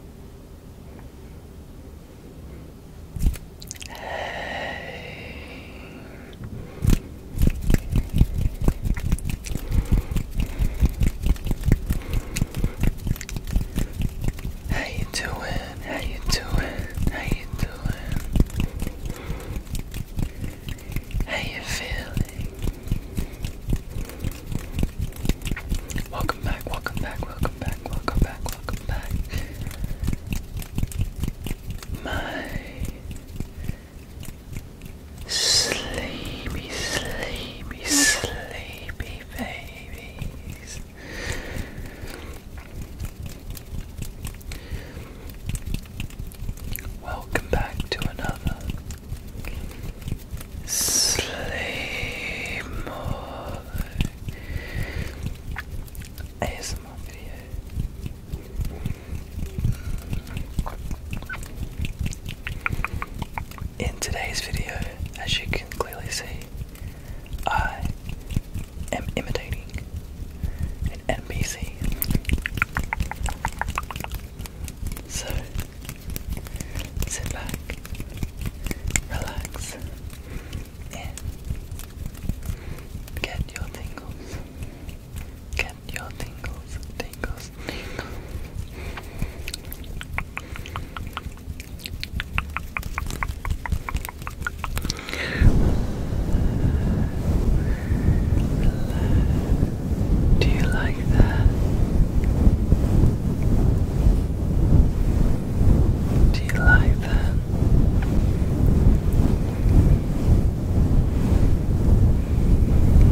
How you doing? How you doing? How you doing? How you feeling? Welcome back, welcome back, welcome back, welcome back, welcome back. My sleepy, sleepy, sleepy babies. Welcome back to another Sleep more. ASMR video. In today's video, as you can clearly see, I am imitating an NPC. So Sit back, relax, and get your tingles. Get your tingles, tingles, do you like that? Do you like that?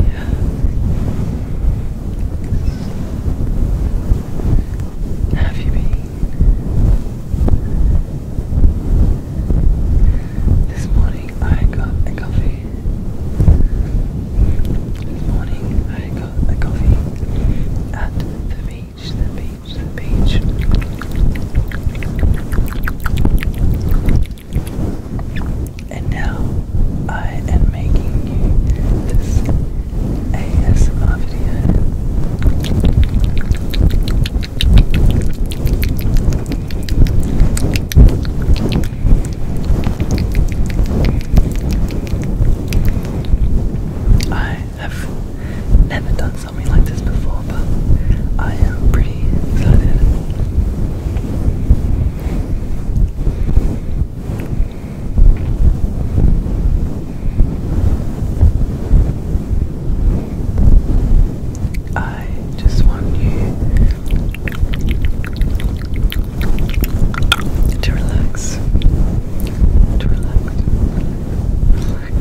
Yeah. Have you been? This morning I got coffee this morning I got a coffee at the beach, the beach, the beach. And now I am making you this ASMR video. I have never done something like this before, but I am pretty excited. I just want you to relax, to relax, relax,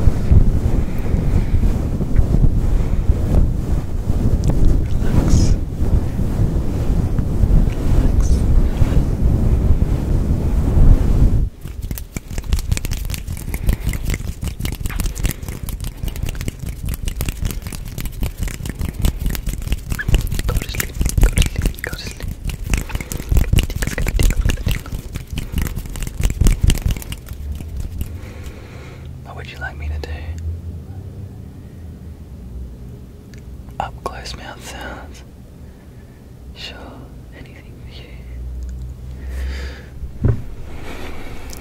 relax, relax. What would you like me to do? Up close mouth sounds. Sure, anything for you.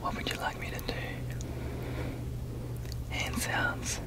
What would you like me to do? Hand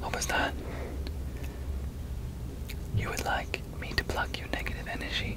What was that? You would like me to pluck your negative energy.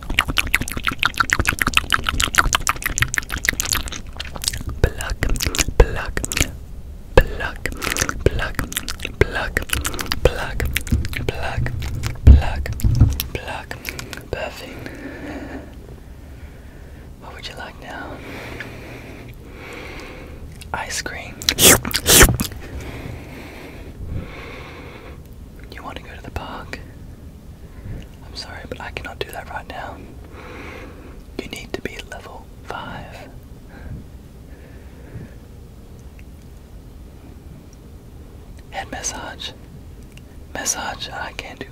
Pluck, pluck, pluck, pluck, pluck, pluck, pluck, pluck, pluck. Perfect. What would you like now? Ice cream. You want to go to the park? I'm sorry, but I cannot do that right now. You need to be level 5. Head massage. Massage, I can't do. it.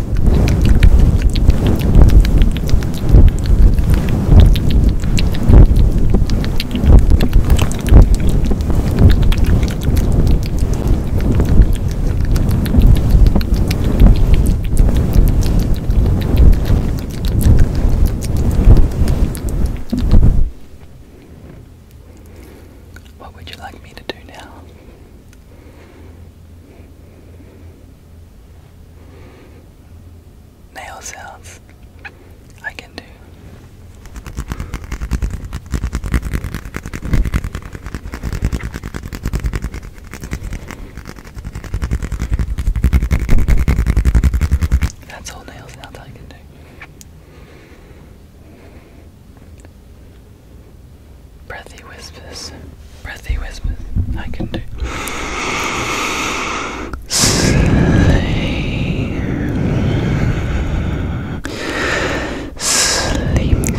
What would you like me to do now? Nail sounds I can do. That's all nail sounds I can do breathy whispers, breathy whispers. I can do. Sleep,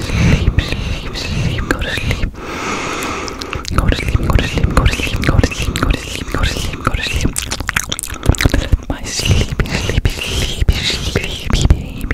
sleep, sleep, sleep. Go to sleep. Go to sleep. Go to sleep. Go to sleep. Go to sleep. Go to sleep. Go to sleep. Go to sleep. My sleepy, sleepy, sleepy, sleepy baby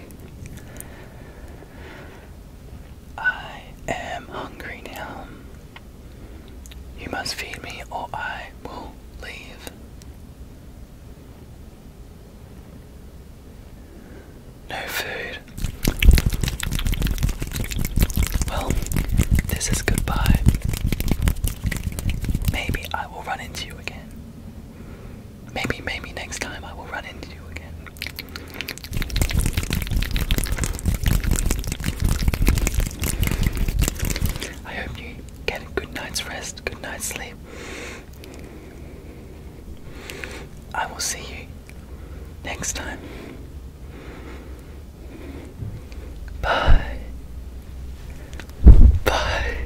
I am hungry now. You must feed me or I will leave. No food. Well, this is goodbye. Maybe I will run into you again. Maybe, maybe next time I will run into you again. I hope you get a good night's rest, good night's sleep. I will see you next time. Bye. Bye.